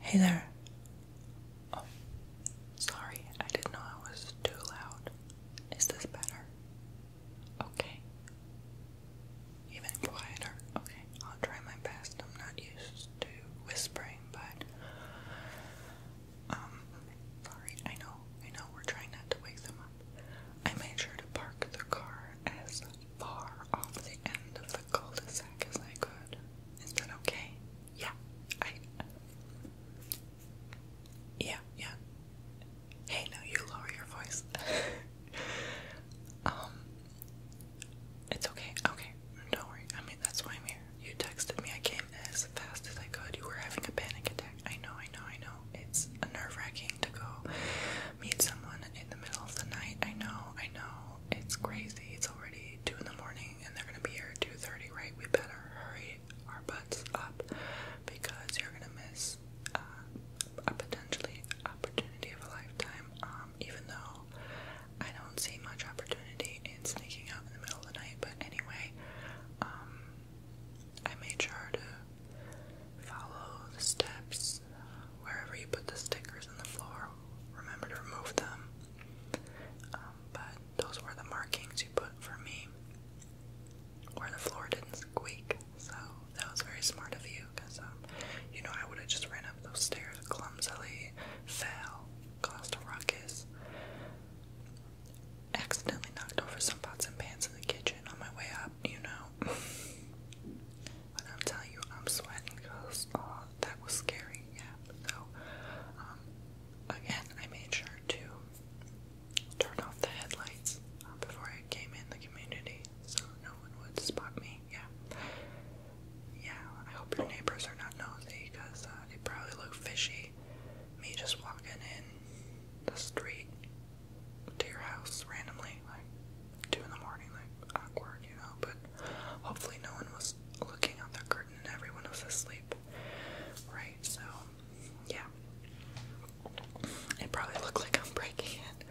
Hey there. Oh, sorry, I didn't know I was too loud. Is this better? Okay. Even quieter. Okay, I'll try my best. I'm not used to whispering, but um, sorry. I know, I know. We're trying not to wake them up. I made sure to park the car as far off the end of the cul de as I could. Is that okay? Yeah. I Yeah, yeah. Hey now you lower your voice. um It's okay, okay. Don't worry. I mean that's why I'm here. You texted me, I came as fast as I could. You were having a panic attack. I know, I know, I know. It's nerve wracking to go meet someone in the middle of the night. I know, I know. It's crazy. It's already two in the morning and they're gonna be here at two thirty, right? We better hurry our butts up because you're gonna miss uh, a potentially opportunity of a lifetime. Um, even though I don't see much opportunity in sneaking out in the middle of the night, but anyway, um, I made sure to follow the steps Wherever you put the stickers on the floor, remember to remove them. Um, but those were the markings you put for me where the floor didn't squeak. So that was very smart of you because, um, you know, I would have just ran up those stairs clumsily, fell, caused a ruckus, accidentally knocked over some pots and pans in the kitchen on my way up, you know. I'm telling you, I'm sweating because uh, that was scary. Yeah. So, um, again, I made sure to turn off the headlights uh, before I came in the community, so no one would spot me. Yeah. Yeah. I hope your neighbors are not nosy because uh, they probably look fishy. Me just walking in the street to your house randomly, two in the morning, like awkward, you know. But hopefully, no one was looking out their curtain and everyone was asleep, right? So, yeah, it probably looked like I'm breaking it.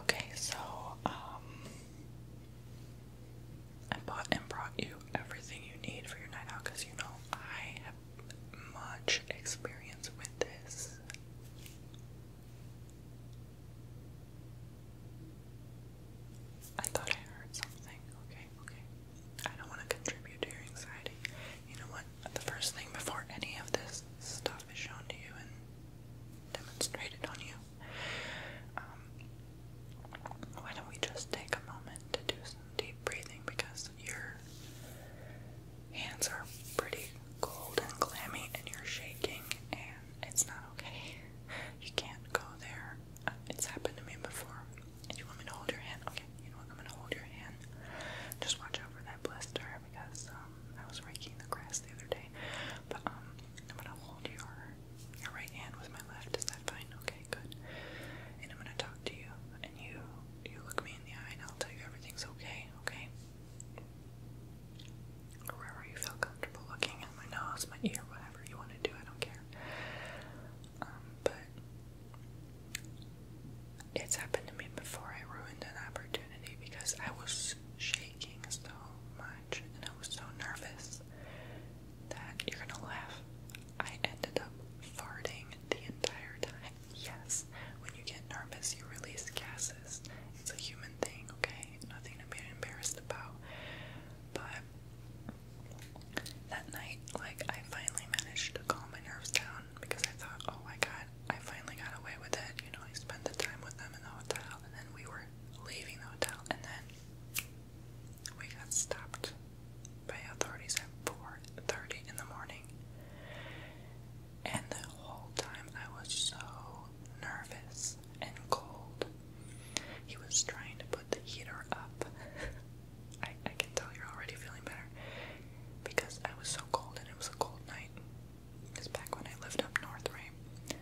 Okay, so um, I bought and brought you everything you need for your night out because you know I have much experience with this. I thought I heard something. Okay, okay. I don't want to contribute to your anxiety. You know what? The first thing before any of this stuff is shown to you and demonstrated on you, um, why don't we just take a moment to do some deep breathing because your hands are pretty cold and clammy and you're shaking and it's not okay. You can't go there. Uh, it's happened to me before. And you want me to hold your hand? Okay, you know what? I'm gonna hold your hand. Just watch over that blister because um, I was raking the grass the other day. But um, I'm gonna hold your your right hand with my left. Is that fine? Okay, good. And I'm gonna talk to you and you you look me in the eye and I'll tell you everything's okay, okay? wherever you feel comfortable looking at my nose, my ear, whatever you want to do, I don't care. Um, but it's happened to me before. I ruined an opportunity because I was shaking so much and I was so nervous that you're gonna laugh. I ended up farting the entire time. Yes, when you get nervous, you release gases. It's a human thing, okay? Nothing to be embarrassed about. But that night, like, I finally managed to calm my nerves down because I thought, oh my god, I finally got away with it. You know, I spent the time with them in the hotel, and then we were leaving the hotel, and then we got stopped by authorities at 4:30 in the morning. And the whole time I was so nervous and cold. He was trying to put the heater up. I, I can tell you're already feeling better because I was so cold and it was a cold night. It's back when I lived up north, right?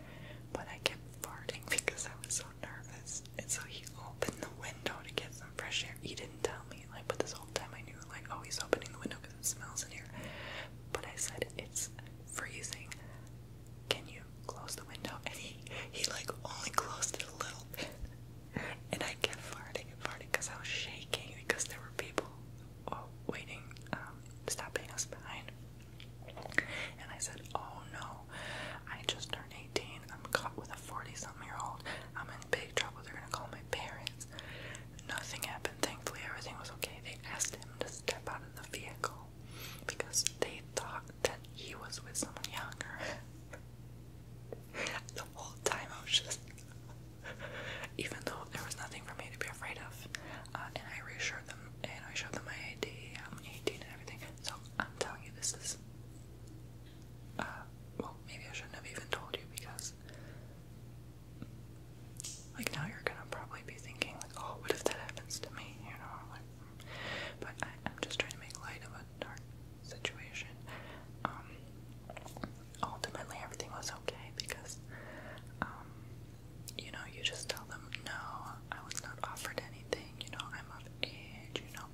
But I kept farting because I was so nervous. And so he opened the window to get some fresh air. He didn't tell me, like, but this whole time I knew, like, oh, he's opening the window because because it smells in here. But I said, It's freezing. Can you close the window? And he, he like only closed it a little bit. And I kept farting and farting because I was shaking because there were people oh, waiting, um, stopping us behind. And I said, Oh no, I just turned 18. I'm caught with a 40 something year old. I'm in big trouble. They're going to call my parents. Nothing happened. Thankfully, everything was okay. They asked him to step out of the vehicle because they thought that he was with someone younger. the whole time I was just, even though there was nothing for me to be afraid of, uh, and I reassured them and I showed them my ID. I'm um, 18 and everything. So I'm telling you, this is. Uh, well, maybe I shouldn't have even told you because like now you're gonna probably be thinking like, oh, what if that happens to me? You know, but I, am just trying to make light of a dark situation. Um, ultimately, everything was okay because, um, you know, you just tell them no, I was not offered anything. You know, I'm of age. You know,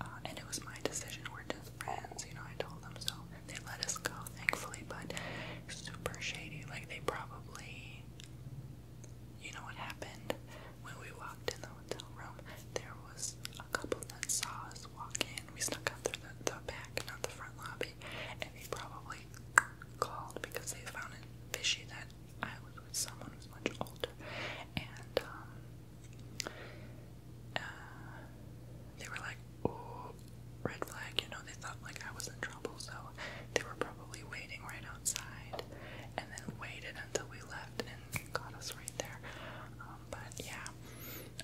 uh, and it was my decision. We're just friends. You know, I told them so. They let us go, thankfully, but super shady. Like, they probably. You know what happened? When we walked in the hotel room, there was a couple that saw us walk in. We snuck out through the, the back, not the front lobby, and they probably called because they found it fishy that I was with someone who's much older. And, um, uh, they were like, oh, red flag, you know, they thought like I was in trouble, so they were probably waiting right outside and then waited until we left and got us right there. Um, but yeah,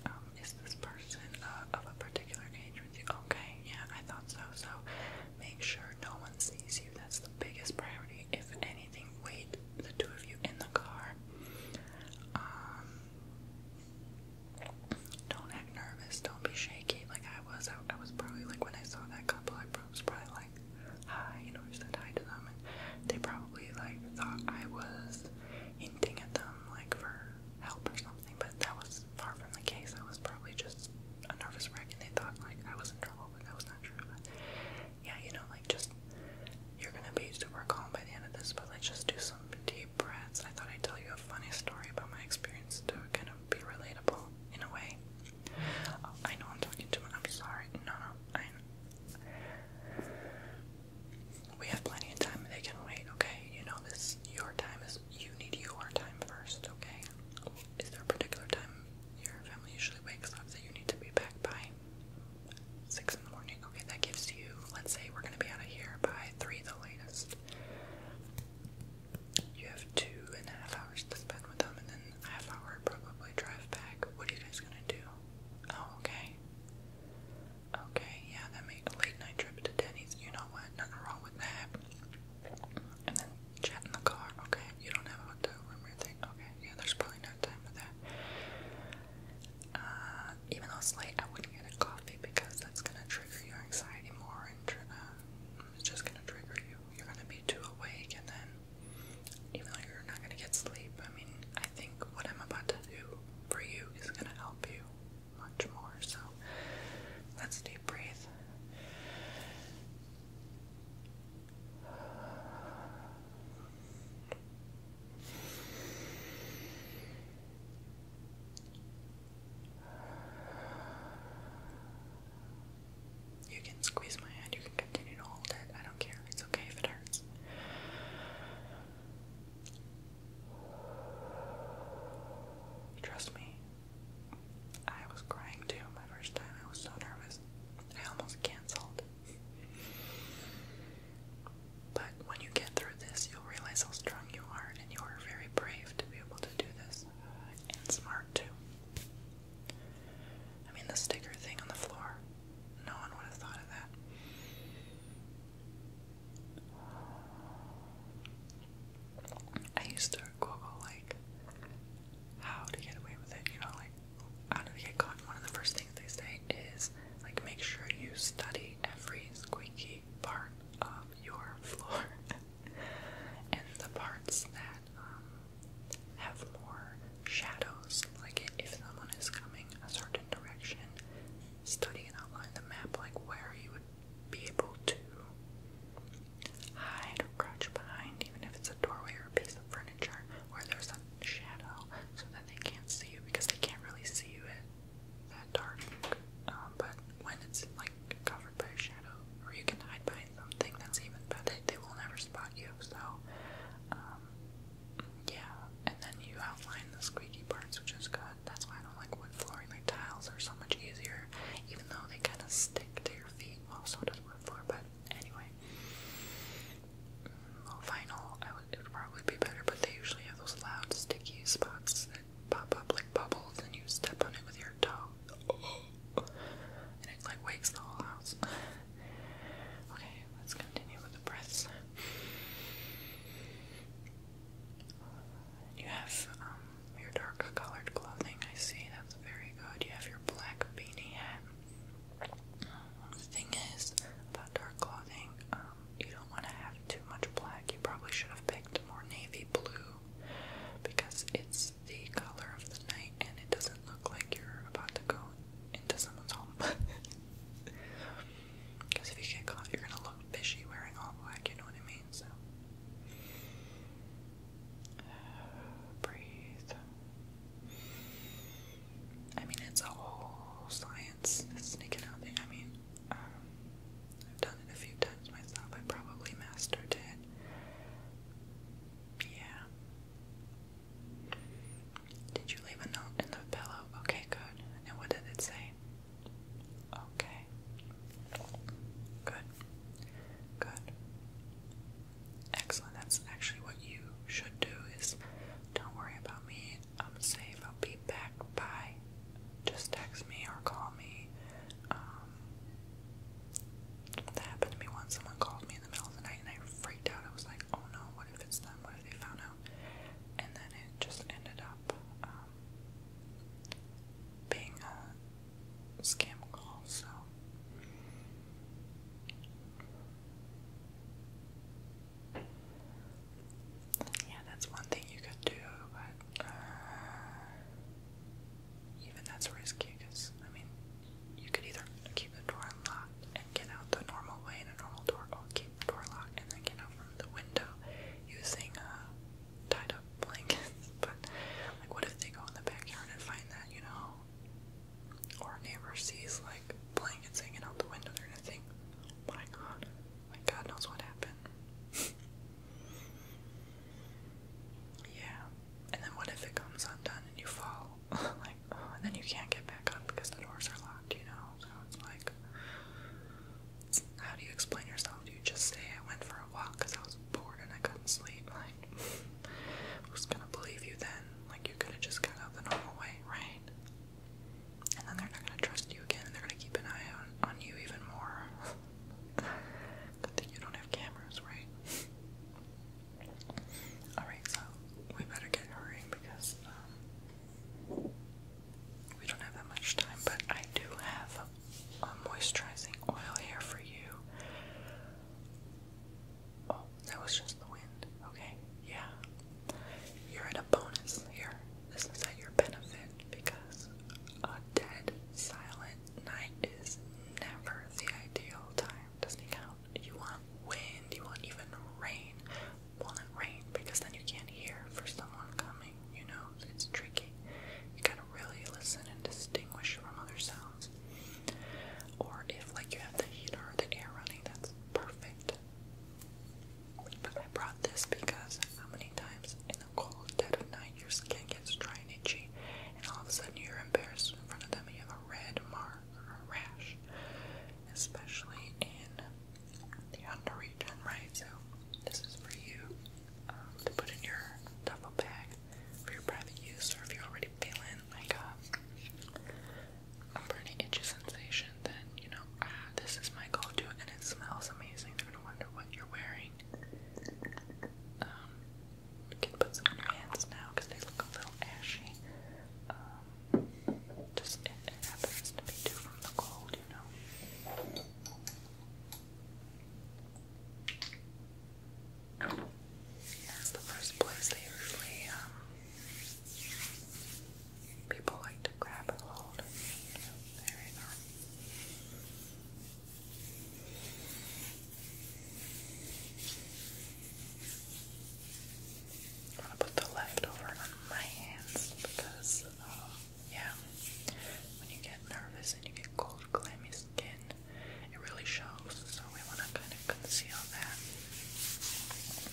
um, is this person uh, of a particular age with you? Okay, yeah, I thought so. So make sure no one sees you. That's the biggest priority. If anything, wait the two of you in the car. Um, don't act nervous. Don't be shaky like I was. I, I was probably like when I saw that couple, I was probably like, hi, you know, I said hi to them. And they probably like thought I was hinting at them like for help or something, but that was far from the case. I was probably just a nervous wreck and they thought like I was in trouble, but that was not true. But yeah, you know, like just you're gonna be super calm by the end of this, but like just do some deep deep breaths, I thought I'd tell you a funny story about my experience to kind of be relatable in a way. Oh, I know I'm talking too much. I'm sorry. No, no. I know. We have plenty of time. They can wait. Okay. You know this. Your time is. You need your time first. Okay. Is there a particular time your family usually wakes up that you need to be back by? 6:30 Okay, that gives you, let's say we're gonna be out of here by three the latest. You have two and a half hours to spend with them and then half hour probably drive back. What are you guys gonna do? Oh, okay. Okay, yeah, that made late night trip to Denny's. You know what? Nothing wrong with that. And then chat in the car. Okay, you don't have a hotel room Okay, yeah, there's probably no time for that. Uh, even though it's late, I wouldn't get a coffee because that's gonna trigger your anxiety more, and um, it's just gonna trigger you. You're gonna be too awake, and then even though you're not gonna get sleep, I mean, I think what I'm about to do for you is gonna help you much more. So let's deep breathe. You can squeeze my hand, you can continue to hold it. I don't care. It's okay if it hurts. Trust me. I was crying too my first time. I was so nervous. I almost canceled. But when you get through this, you'll realize how strong you are, and you are very brave to be able to do this, and smart too. I mean, the sticker thing on the floor, no one would have thought of that. I used to Google, like, how to get away with it, you know, like, how do we get caught? One of the first things they say is, like, make sure you study literally every squeaky part of your floor, and the parts that um, have more shadows, like if someone is coming a certain direction, study and outline the map, like where you would be able to hide or crouch behind, even if it's a doorway or a piece of furniture where there's a shadow, so that they can't see you because they can't really see you that dark, um, but when it's like covered by a shadow, or you can hide behind something, that's even better. They will never spot you. So, um, yeah. And then you outline the squeaky parts, which is good. That's why I don't like wood flooring. Like tiles are so much easier, even though they kind of stick to your feet. Well, does wood floor, but anyway vinyl, I it would probably be better, but they usually have those loud, sticky spots that pop up like bubbles, and you step on it with your toe, and it like wakes the whole house. Okay, let's continue with the breaths. You have um, your dark colored clothing, I see, that's very good. You have your black beanie hat. The thing is, dark clothing, um, you don't want to have too much black. You probably should have picked more navy blue because it's the color of the night and it doesn't look like you're about to go into someone's home. Because if you get caught, you're gonna look fishy wearing all black, you know what I mean? So. breathe. I mean, it's a whole science clients sneaking out there. I mean, um, I've done it a few times myself. I probably mastered it. Yeah. Did you leave a note in the pillow? Okay, good. And what did it say? Okay. Good. Good. Excellent. That's actually what you should do is don't worry about me. I'm um, safe. I'll be back by. Just text me or call me. Um, that happened to me once. Someone called me in the middle of the night and I freaked out. I was like, oh no, what if it's them? What if they found out? And then it just ended up um, being a scam call, so. Yeah, that's one thing you could do, but uh, even that's risky because, I mean, you could either keep the door unlocked and get out the normal way in a normal door, or keep the door locked and then get out from the window using uh, tied up blankets. But, like, what if they go in the backyard and find that, you know? Or a neighbor sees, like blankets hanging out the window or anything. My God, my God knows what happened. yeah, and then what if it comes undone and you fall? like, oh, and then you can't get back up because the doors are locked, you know? So it's like, how do you explain yourself? Do you just say I went for a walk because I was bored and I couldn't sleep? Like, who's gonna believe you then? Like, you could have just gone out the normal way, right? And then they're not gonna trust you again and they're gonna keep an eye on, on you even more. Good you don't have cameras, right? Alright, so we better get hurrying because um, we don't have that much time, but I do have a moisturizing oil here for you. Oh, that was just the wind. Okay, yeah. You're at a bonus here. This is at your benefit because a dead, silent night is never the ideal time. Doesn't it count? You want wind, you want even rain. Well, not rain because then you can't hear for someone coming, you know? It's tricky. You gotta really listen and distinguish from other sounds. Or if, like, you have the heater or the air running, that's perfect. I brought this because how many times in the cold dead of night your skin gets dry and itchy, and all of a sudden you're embarrassed in front of them you have a red mark or a rash, especially in the under region, right? So this is for you um, to put in your duffel bag for your private use, or if you're already feeling like oh a, a burning itchy sensation, then you know, ah, this is my gold to and it smells amazing. They're gonna wonder what you're wearing. Um, can put some on your hands now because they look a little ashy. Um, just it, happens to be too from the cold, you know. That's the first place they usually um, People like to grab and hold. There we go. I'm gonna put the leftover on my hands because, uh, yeah, when you get nervous and you get cold, clammy skin, it really shows. So we wanna kind of conceal that.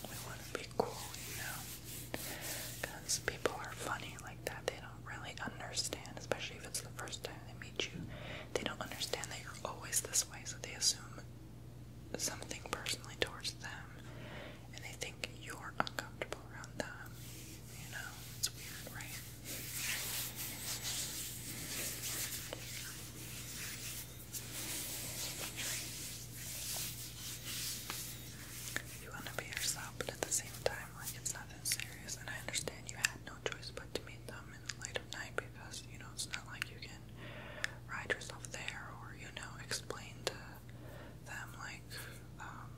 We wanna be cool, you know? Because people are funny like that. They don't really understand, especially if it's the first time they meet you. They don't understand that you're always this way, so they assume something personally towards them. And they think you're uncomfortable around them. You know? It's weird, right? You want to be yourself, but at the same time, like, it's not that serious. And I understand you had no choice but to meet them in the light of night because, you know, it's not like you can ride yourself there or, you know, explain to them, like, um,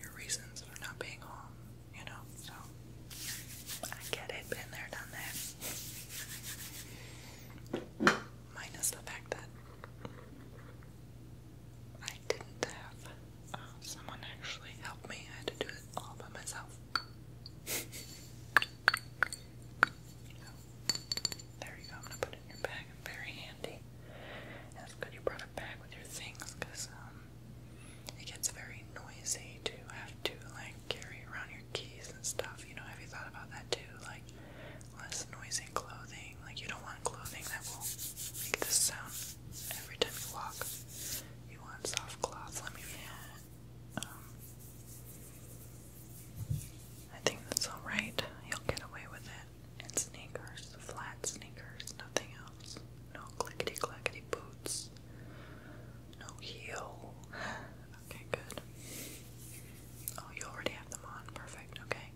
your reasons for not being home, you know? So, I get it, been there, done that minus the fact that I didn't have uh, someone actually help me. I had to do it all by myself. there you go. I'm gonna put it in your bag. very handy. And good you brought a bag with your things um, it gets very noisy to have to like carry around your keys and stuff. You know, have you thought about that too? Like less noisy clothing. Like you don't want clothing that will make this sound every time you walk. You want soft cloth. Let me um, I think that's all right. You'll get away with it. And sneakers, flat sneakers, nothing else. No clickety clackety boots. No heel. Okay, good. Oh, you already have them on. Perfect. Okay.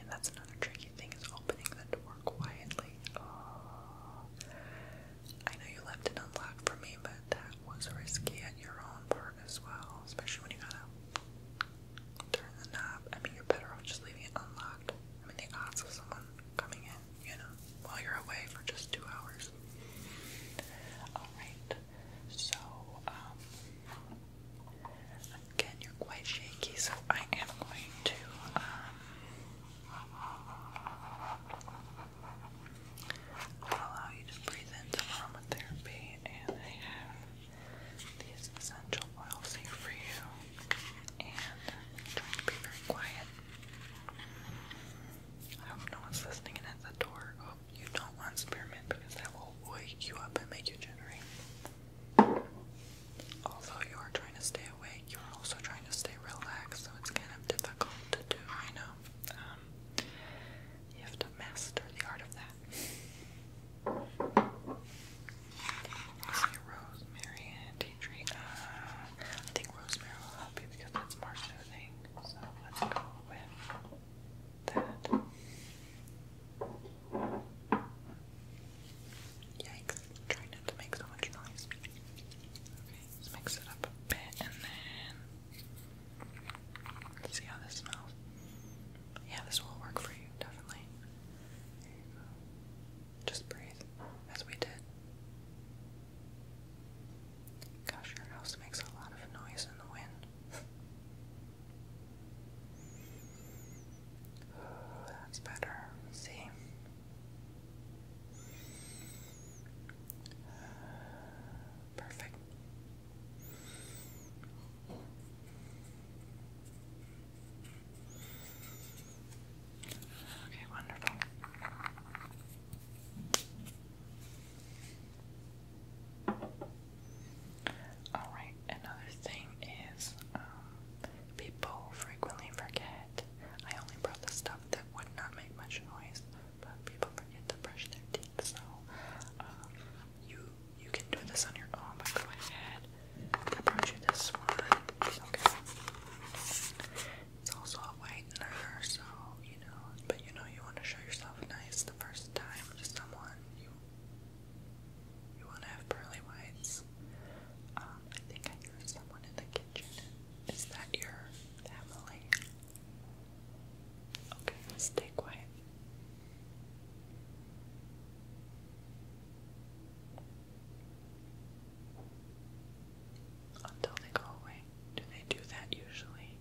And that's another tricky thing is opening the door quietly. Oh. I know you left it unlocked for me, but that was risky at your own part as well, especially when you gotta turn the knob. I mean, you're better off just leaving it unlocked. I mean, the odds of someone coming in, you know, while you're away for just two hours. Alright, so, um, again, you're quite shaky, so I am going to, um, allow you to breathe in aromatherapy, and I have these essential oils here for you, and trying to be very quiet. I hope no one's listening and at the door. Oh, you don't want spearmint because that will wake you up and make you jittery. Although you are trying to stay awake, you are also trying to stay relaxed, so it's kind of difficult to do, I know. Um, you have to master the art of that. see rosemary and tea tree. Uh, I think rosemary will help you because that's more soothing. So let's go with that. Yikes! Try not to make so much noise. Okay, let's mix it up a bit and then see how this smells. Yeah, this will work for you definitely. Just breathe as we did. Gosh, your house makes a lot of noise in the wind. that's better. see. Perfect. Okay, wonderful. Alright, another thing is um, people frequently forget. I only brought the stuff that would not make much noise, but people forget to brush their teeth. So um, you you can do this on your own, but go ahead. I brought you this one. Okay. It's also a whitener, so you know. But you know, you want to show yourself nice the first time to someone. You you want to have pearly whites. Um, I think I hear someone in the kitchen. Is that your family? Okay, stay quiet until they go away. Do they do that usually?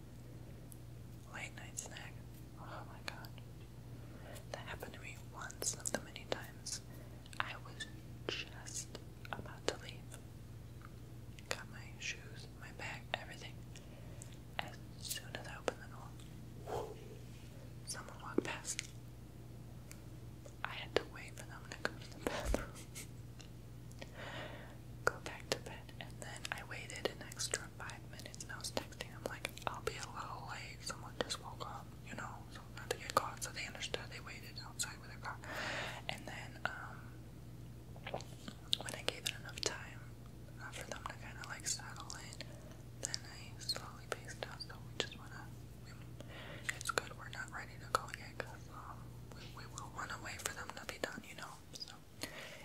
Late night snack. Oh my god. That happened to me once of the many times. I was just about to leave. Got my shoes, my bag, everything. As soon as I opened the door, someone walked past. I had to wait for them to go to the bathroom go back to bed. And then I waited an extra five minutes and I was texting him like, I'll be a little late. Someone just woke up, you know, so not to get caught. So they understood. They waited outside with their car. And then um, when I gave it enough time uh, for them to kind of like settle in, then I slowly paced out. So we just wanna. We, it's good we're not ready to go yet. Cause we, will run away wait for them to be done, you know. So,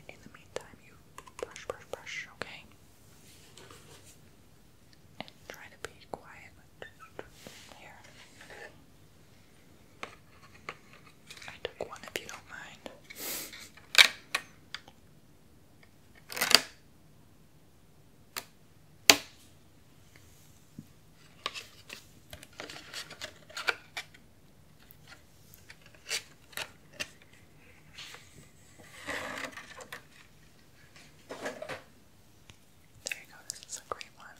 in the meantime, you brush, brush, brush, okay? try to be quiet here. I took one if you don't mind. There you go, this is a great one.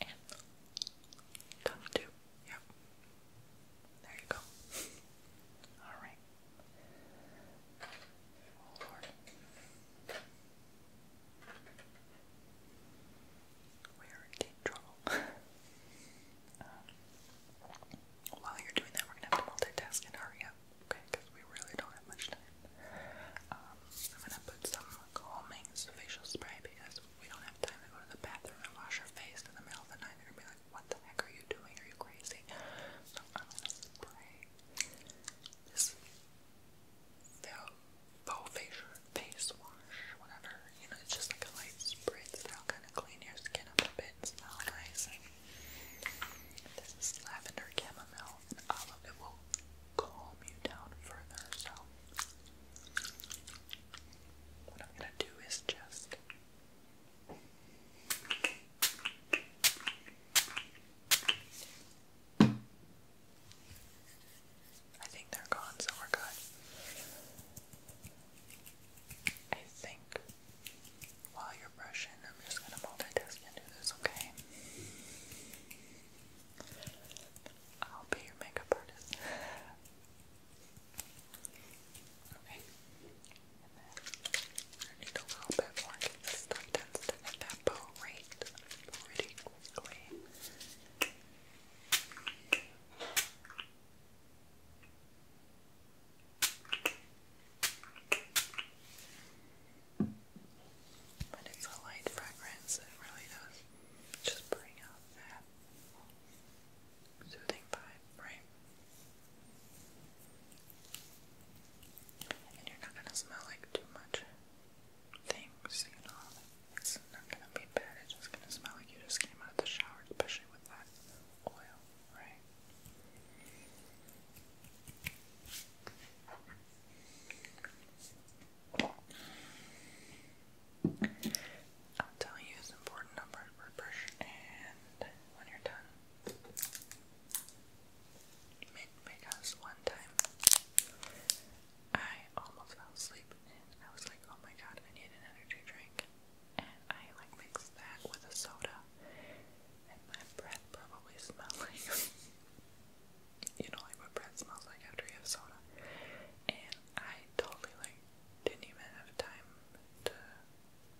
And done too. Yep. There you go. Alright. Oh, we're in deep trouble. Um, while you're doing that, we're gonna have to multitask and hurry up, okay? Because we really don't have much time. Um, I'm gonna put some calming facial spray because we don't have time to go to the bathroom and wash our face in the middle of the night. they be like, "What the heck are you doing? Are you crazy?" So I'm gonna spray this faux facial face wash, whatever. You know, it's just like a light spritz that'll kind of clean your skin up a bit and smell nice. this is lavender chamomile and olive. It will calm you down further. So, what I'm gonna do is just. I think they're gone, so we're good. I think while you're brushing, I'm just gonna multitask and do this, okay? I'll be your makeup artist. Okay. I need a little bit more stuff tends to hit pretty quickly. But it's a light fragrance, it really does just bring out that soothing vibe, right? And you're not gonna smell like too much things, you know. It's not gonna be bad, it's just gonna smell like you just came out of the shower, especially with that oil, right? I'll tell you it's important number to brush and when you're done because one time I almost fell asleep and I was like, oh my god, I need an energy drink. And I like mixed that with a soda, and my breath probably smelled like you know, like what breath smells like after you have soda. And I totally like didn't even have time to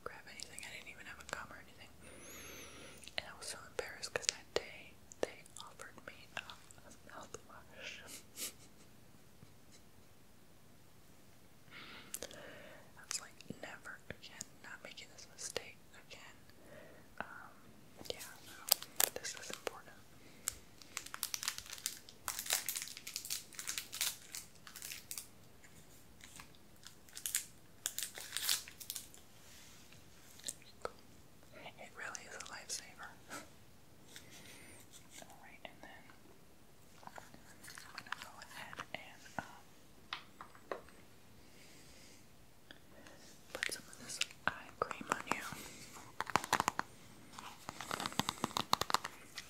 grab anything. I didn't even have a gum or anything. And I was so embarrassed because that day they offered me um, a mouthwash. I was like, never again, not making this mistake again. Um, yeah, this is important. It really is a lifesaver. Alright, and then I'm gonna go ahead and um, put some of this eye cream on you.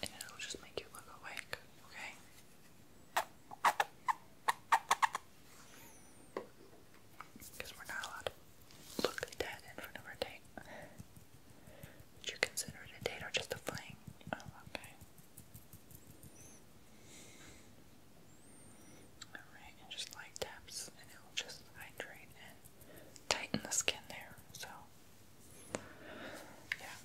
And it'll just make you look awake, okay? Because we're not allowed to look dead in front of our date. Would you consider it a date or just a fling? Oh, okay. Alright, and just light taps, and it'll just hydrate and tighten the skin there. So, yeah.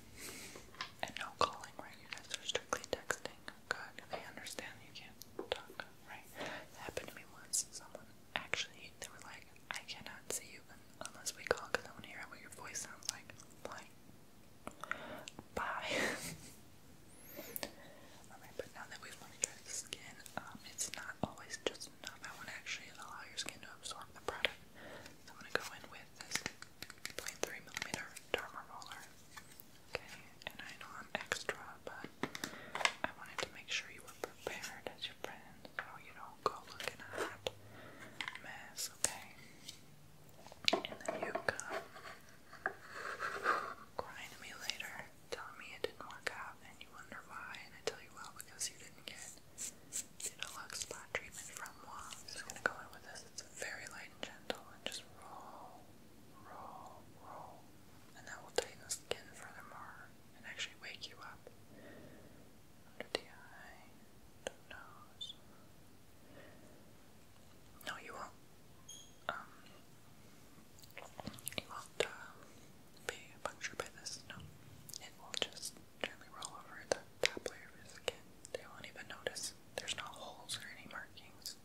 And no calling, right? You guys are strictly texting. God, I understand you can't talk, right? It happened to me once. Someone actually, they were like, I cannot see you unless we call because I want to hear what your voice sounds like. I'm like, bye. Alright, but now that we've moisturized the skin, um, it's not always just enough. I want to actually allow your skin to absorb the product. So I'm going to go in with this plain 3mm Derma Roller. Okay, and I know I'm extra, but I wanted to make sure you were prepared as your friend so you don't go looking at mess, okay? And then you come crying to me later, telling me it didn't work out, and you wonder why, and I tell you well because you didn't get the deluxe spot treatment from moi. I'm just gonna go in with this, it's very light and gentle, and just roll roll, roll, and that will tighten the skin furthermore and actually wake you up. Under the eye, the nose. No, you won't. Um, you will um, uh, be punctured by this. No, it will just gently roll over the top layer of skin. They won't even notice. There's no holes or any markings.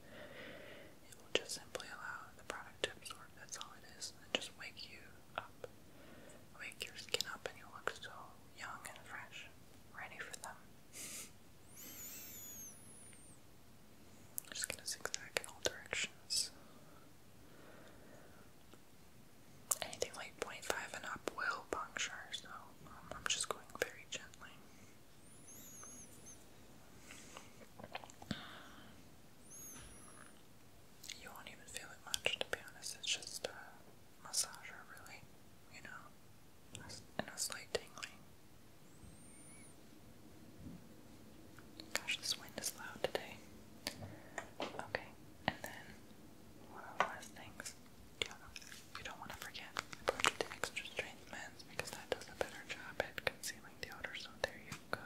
It will just simply allow the product to absorb. That's all it is. just wake you up. Wake your skin up and you'll look so young and fresh. Ready for them. just gonna zigzag in all directions. Anything like 0.5 and up will puncture, so um, I'm just going very gently. You won't even feel it much, to be honest. It's just a massager, really. You know, and a slight tingling. Gosh, this wind is loud today. Okay, and then one last things. Do you know? You don't want to forget about the extra strength men's because that does a better job at concealing the odor. So there you go.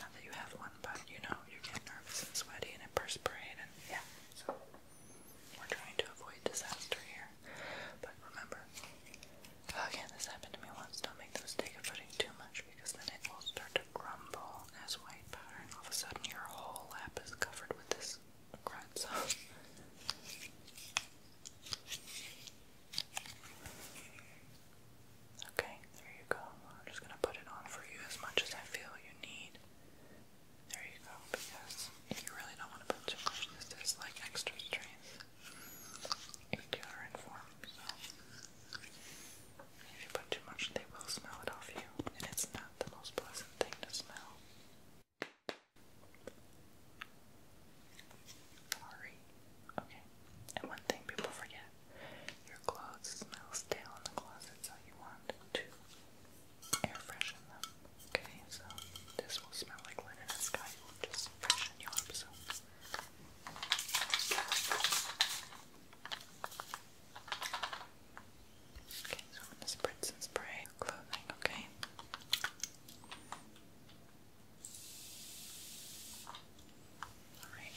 Not that you have one, but you know you get nervous and sweaty and it and yeah. So we're trying to avoid disaster here. But remember, again, this happened to me once. Don't make the mistake of putting too much because then it will start to crumble as white powder, and all of a sudden your whole lap is covered with this a okay, there you go. I'm just gonna put it on for you as much as I feel you need. There you go, because you really don't want to put too much. This is like extra strength in deodorant so if you put too much, they will smell it off you, and it's not the most pleasant thing to smell. Sorry. Okay. And one thing people forget your clothes smell stale in the closet, so you want to air freshen them. Okay, so this will smell like linen and sky. just freshen you Okay, so I'm going to spritz and spray clothing, okay? Alright.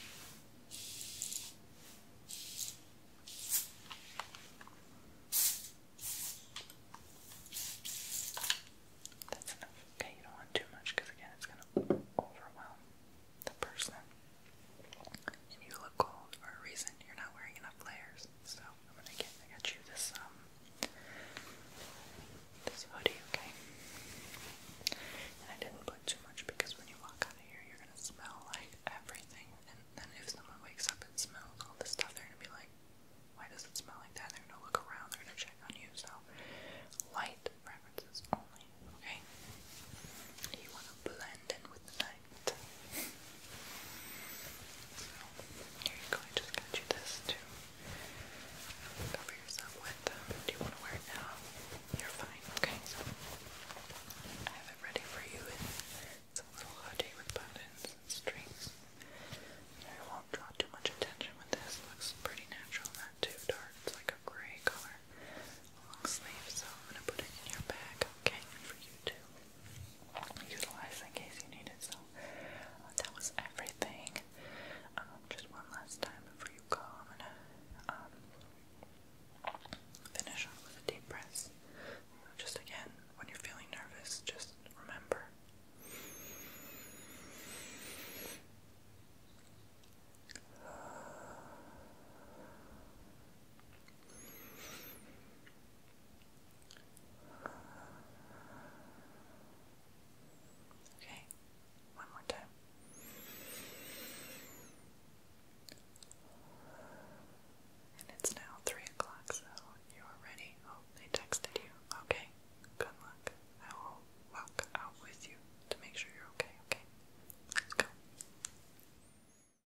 That's enough. Okay, you don't want too much because again, it's going to overwhelm the person. And you look cold for a reason. You're not wearing enough layers. So I'm gonna get I got you this um this hoodie, okay? And I didn't put too much because when you walk out of here you're gonna smell like everything and then if someone wakes up and smells all this stuff they're gonna be like, Why does it smell like that? They're gonna look around, they're gonna check on you, so light preferences only, okay? You wanna blend in with the night light. So, here you go, I just got you this to cover yourself with. Do you want to wear it now? You're fine, okay? So, I have it ready for you. It's a little hoodie with buttons and strings. I won't draw too much attention with this. looks pretty natural, not too dark. It's like a gray color. Long so I'm gonna put it in your bag, okay, for you to utilize in case you need it. So that was everything. Um, just one last time before you go, I'm gonna um, finish with a deep breath. Just again, when you're feeling nervous, just remember. Okay, one more time. And it's now three o'clock, so you are ready. Oh, they texted you. Okay, good luck. I will walk out with you to make sure you're okay. Okay, let's go.